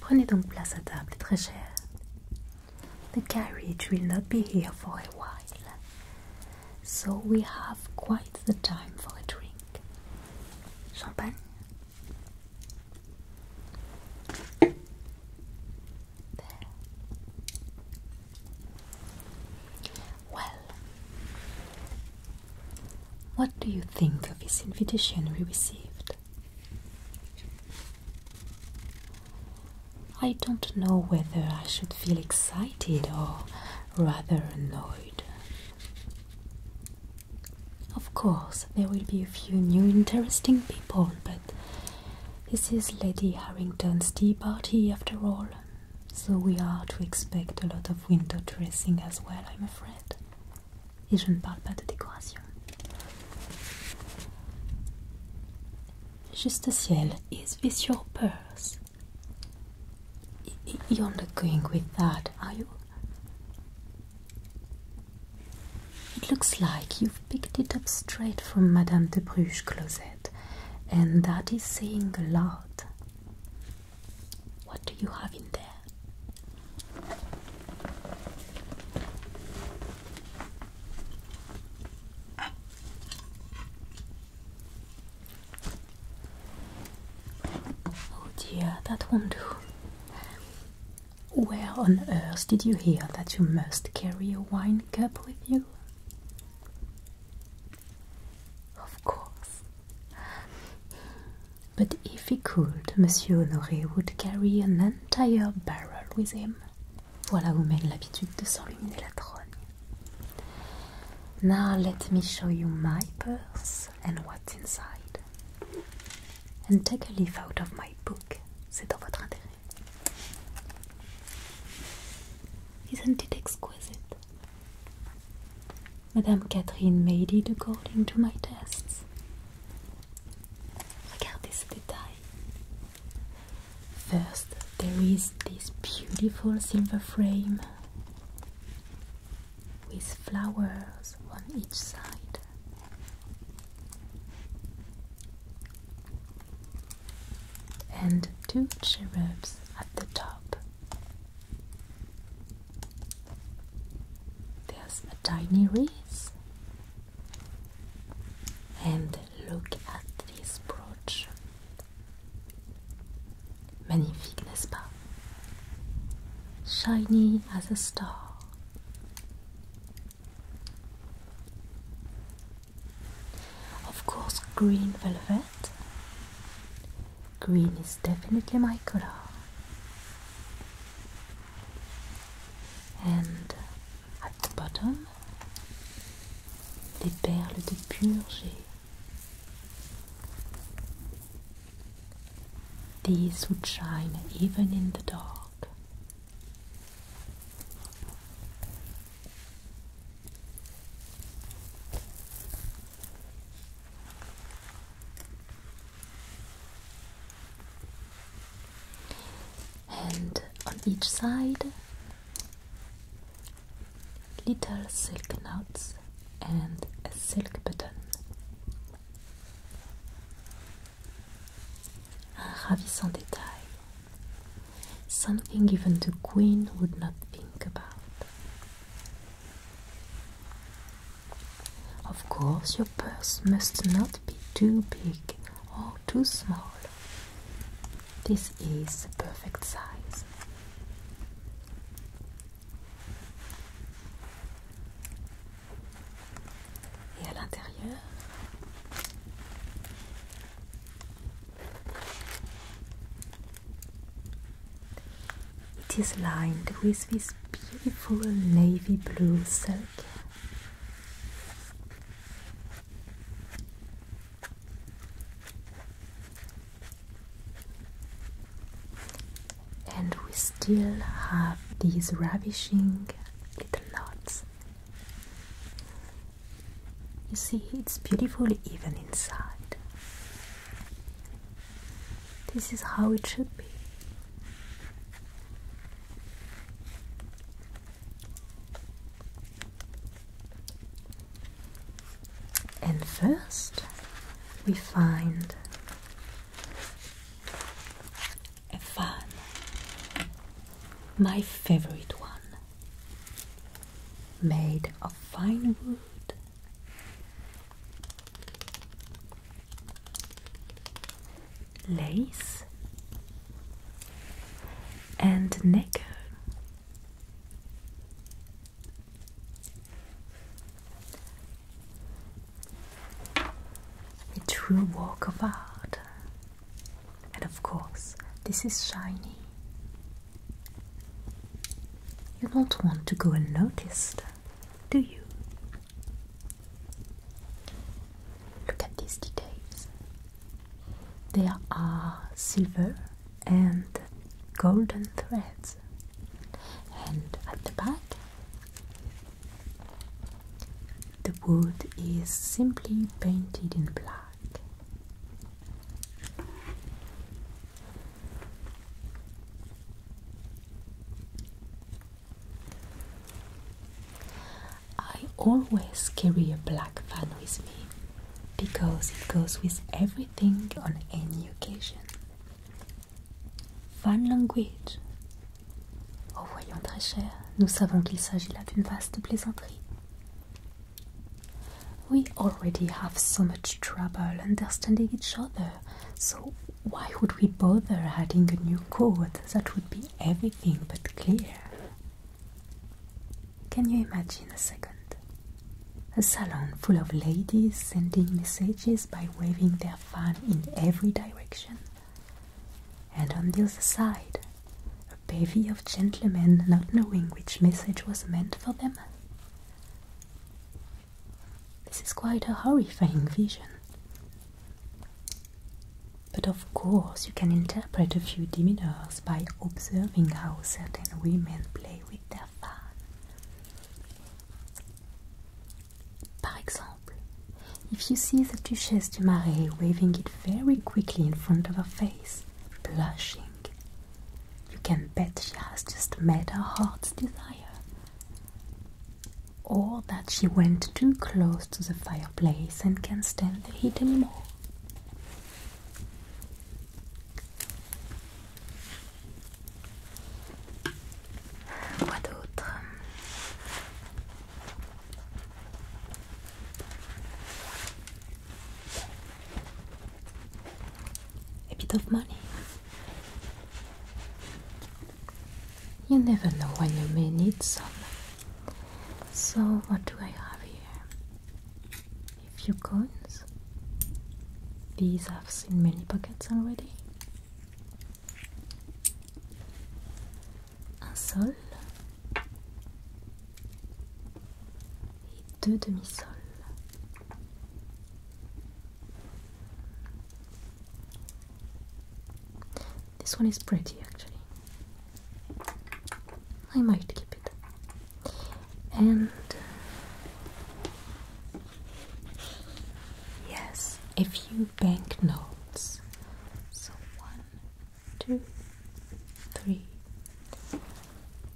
Prenez donc place à table, très cher. The carriage will not be here for a while, so we have quite the time for a drink. Champagne? There. Well, what do you think of this invitation we received? I don't know whether I should feel excited or rather annoyed. Of course, there will be a few new interesting people, but this is Lady Harrington's tea party after all, so we are to expect a lot of window dressing as well, I'm afraid. Et je ne parle pas de décoration. Juste ciel, is this your purse? You're not going with that, are you? It looks like you've picked it up straight from Madame de Bruges' closet, and that is saying a lot. What do you have in there? Oh dear, that won't do. Where on earth did you hear that you must carry a wine cup with you? Of course. But if he could, Monsieur Honoré would carry an entire barrel with him. Voilà où Meg l'habitude de s'enluminer la trogne. Now let me show you my purse and what's inside. And take a leaf out of my book. C'est dans votre intérêt. Isn't it exquisite? Madame Catherine made it according to my tests. Regardez ce détail. First, there is this beautiful silver frame with flowers on each side. And two cherubs at the top there's a tiny wreath. And look at this brooch. Magnifique, n'est-ce pas? Shiny as a star. Of course, green velvet. Green is definitely my color. And at the bottom, des perles de pur These would shine even in the dark and on each side little silk knots and a silk button un ravissant detail something even the queen would not think about of course, your purse must not be too big or too small. This is the perfect size. Et à l'intérieur, it is lined with this beautiful navy blue silk. And we still have these ravishing little knots. You see, it's beautiful even inside. This is how it should be. And first, we find a fan, my favorite one made of fine wood. Lace and necker. A true work of art. And of course, this is shiny. You don't want to go unnoticed, do you? Look at these details. There are silver and golden threads, and at the back, the wood is simply painted in black. I always carry a black fan with me because it goes with everything on any occasion. Fan language. Oh voyons très cher, nous savons qu'il s'agit là d'une vaste plaisanterie. We already have so much trouble understanding each other, so why would we bother adding a new code that would be everything but clear? Can you imagine a second? A salon full of ladies sending messages by waving their fan in every direction. And on the other side, a bevy of gentlemen not knowing which message was meant for them. This is quite a horrifying vision. But of course, you can interpret a few demeanors by observing how certain women play with their fan. Par exemple, if you see the Duchesse de Marais waving it very quickly in front of her face, blushing, you can bet she has just met her heart's desire. Or that she went too close to the fireplace and can't stand the heat anymore. Quoi d'autre? a bit of money. You never know when you may need some. So, what do I have here? A few coins. These I've seen many pockets already. Un sol. This one is pretty actually. I might keep it. And yes, a few banknotes. So one, two, three,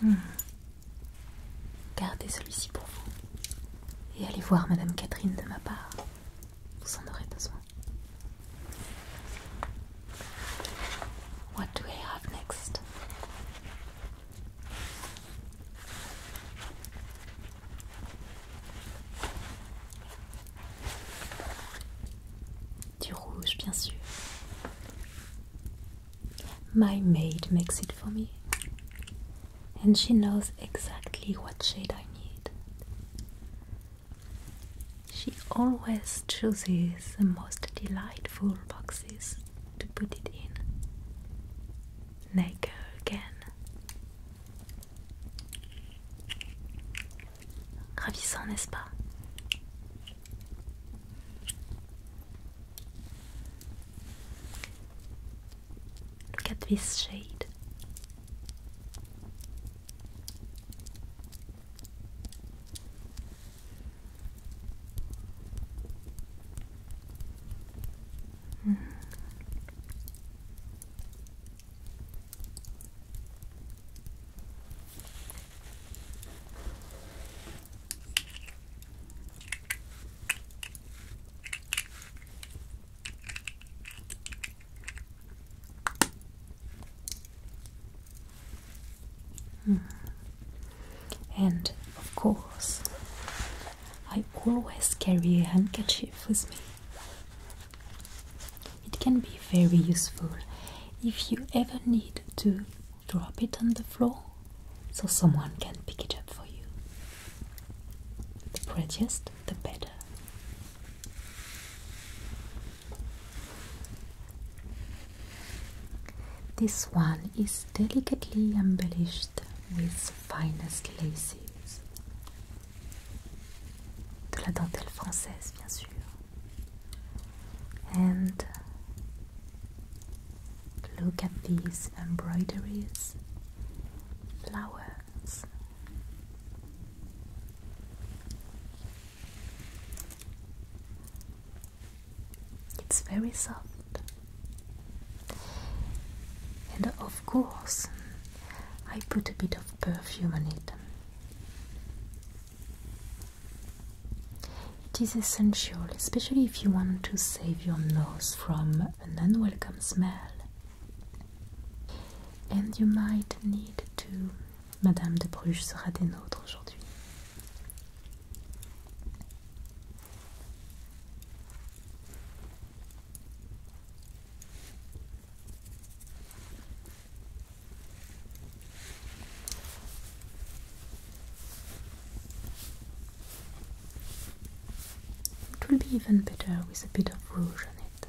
Hmm. Gardez celui-ci pour vous et allez voir Madame Catherine de ma part. Vous en aurez besoin. What do I have next? Du rouge, bien sûr. My maid makes it for me, and she knows exactly what shade I need. She always chooses the most delightful boxes to put it in. Nagel again. Gravissant, n'est-ce pas Look at this shade. Hmm. Hmm. And of course, I always carry a handkerchief with me. It can be very useful if you ever need to drop it on the floor so someone can pick it up for you. The prettiest, the better. This one is delicately embellished with finest laces de la dentelle française, bien sûr. And look at these embroideries, flowers. It's very soft. And of course, I put a bit of perfume on it. It is essential, especially if you want to save your nose from an unwelcome smell. And you might need to. Madame de Bruges sera des nôtres aujourd'hui. It will be even better with a bit of rouge on it.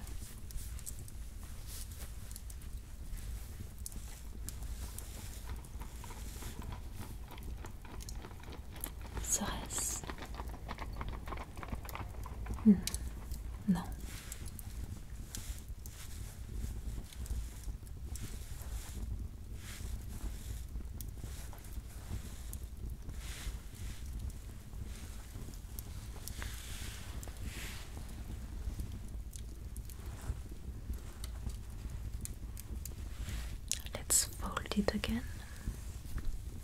Serait-ce hmm. Let's fold it again.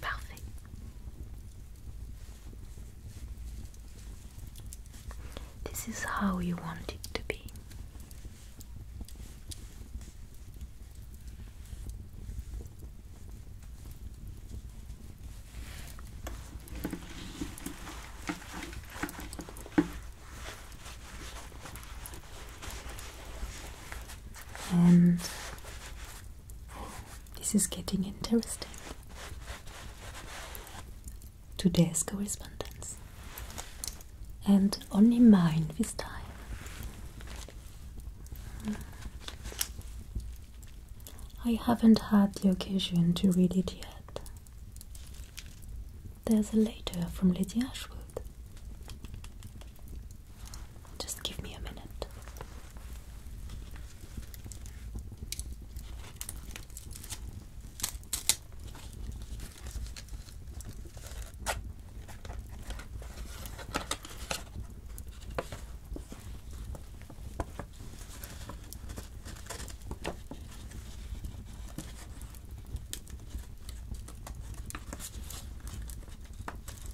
Parfait. This is how you want it to be and this is getting interesting. Today's correspondence, and only mine this time. I haven't had the occasion to read it yet. There's a letter from Lady Ashwood. Just give me a minute.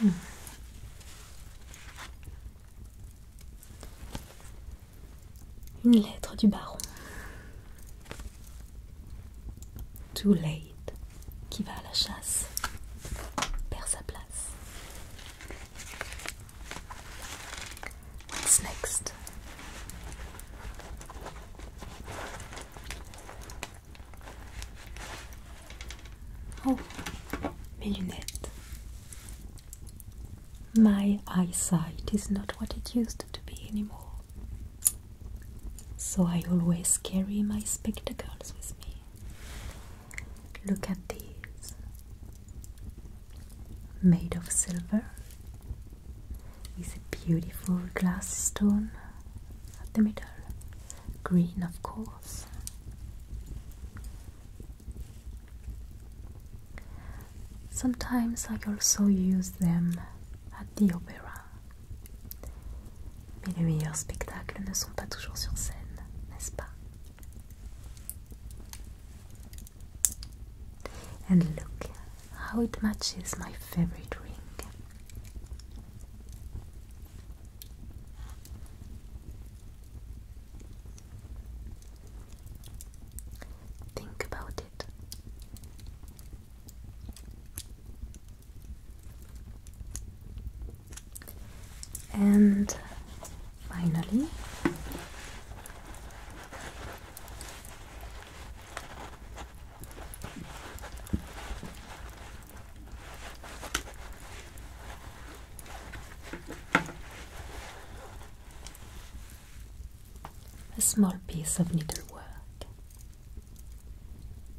Hmm. Une lettre du baron. Too late, qui va à la chasse, perd sa place. What's next? Oh, mes lunettes. My eyesight is not what it used to be anymore. So I always carry my spectacles with me. Look at this, Made of silver It's a beautiful glass stone at the middle. Green, of course. Sometimes I also use them at the opera. Mais les meilleurs spectacles ne sont pas toujours sur scène, n'est-ce pas? And look how it matches my favorite ring. Think about it and finally a small piece of needlework.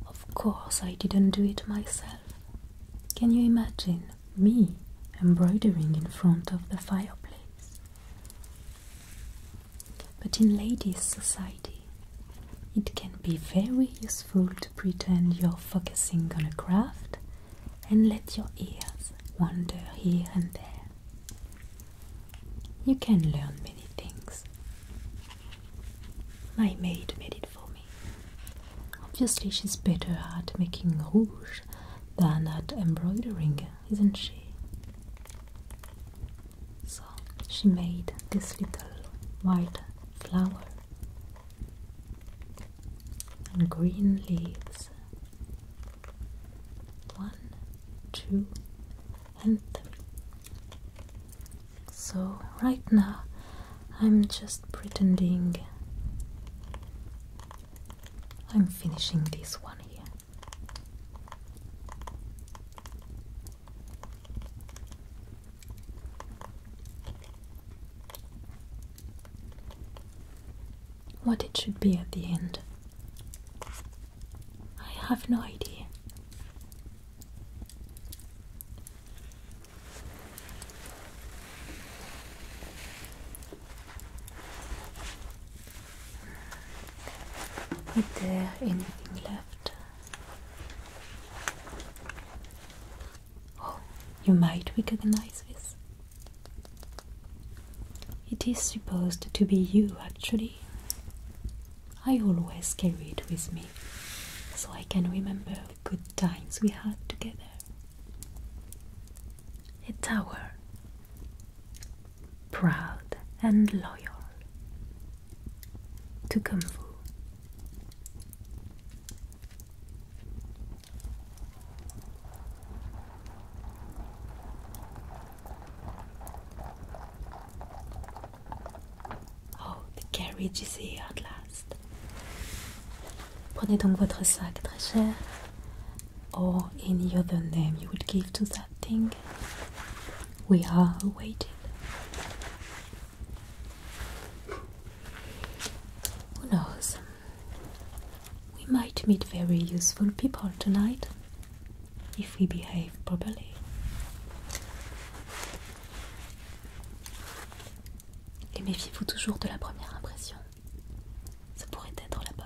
Of course, I didn't do it myself. Can you imagine? me embroidering in front of the fireplace. But in ladies' society, it can be very useful to pretend you're focusing on a craft and let your ears wander here and there. You can learn many things. My maid made it for me. Obviously, she's better at making rouge than at embroidering, isn't she? So she made this little white flower and green leaves. One, two, and three. So, right now I'm just pretending I'm finishing this one here. What it should be at the end, I have no idea. Is there anything left? Oh, you might recognize this. It is supposed to be you, actually. I always carry it with me so I can remember good times we had together. A tower, proud and loyal to come Fu. Oh, the carriage is here at last. Prenez donc votre sac très cher, or any other name you would give to that thing. We are awaited. Who knows? We might meet very useful people tonight if we behave properly. Et méfiez-vous toujours de la première impression. Ça pourrait être la bonne.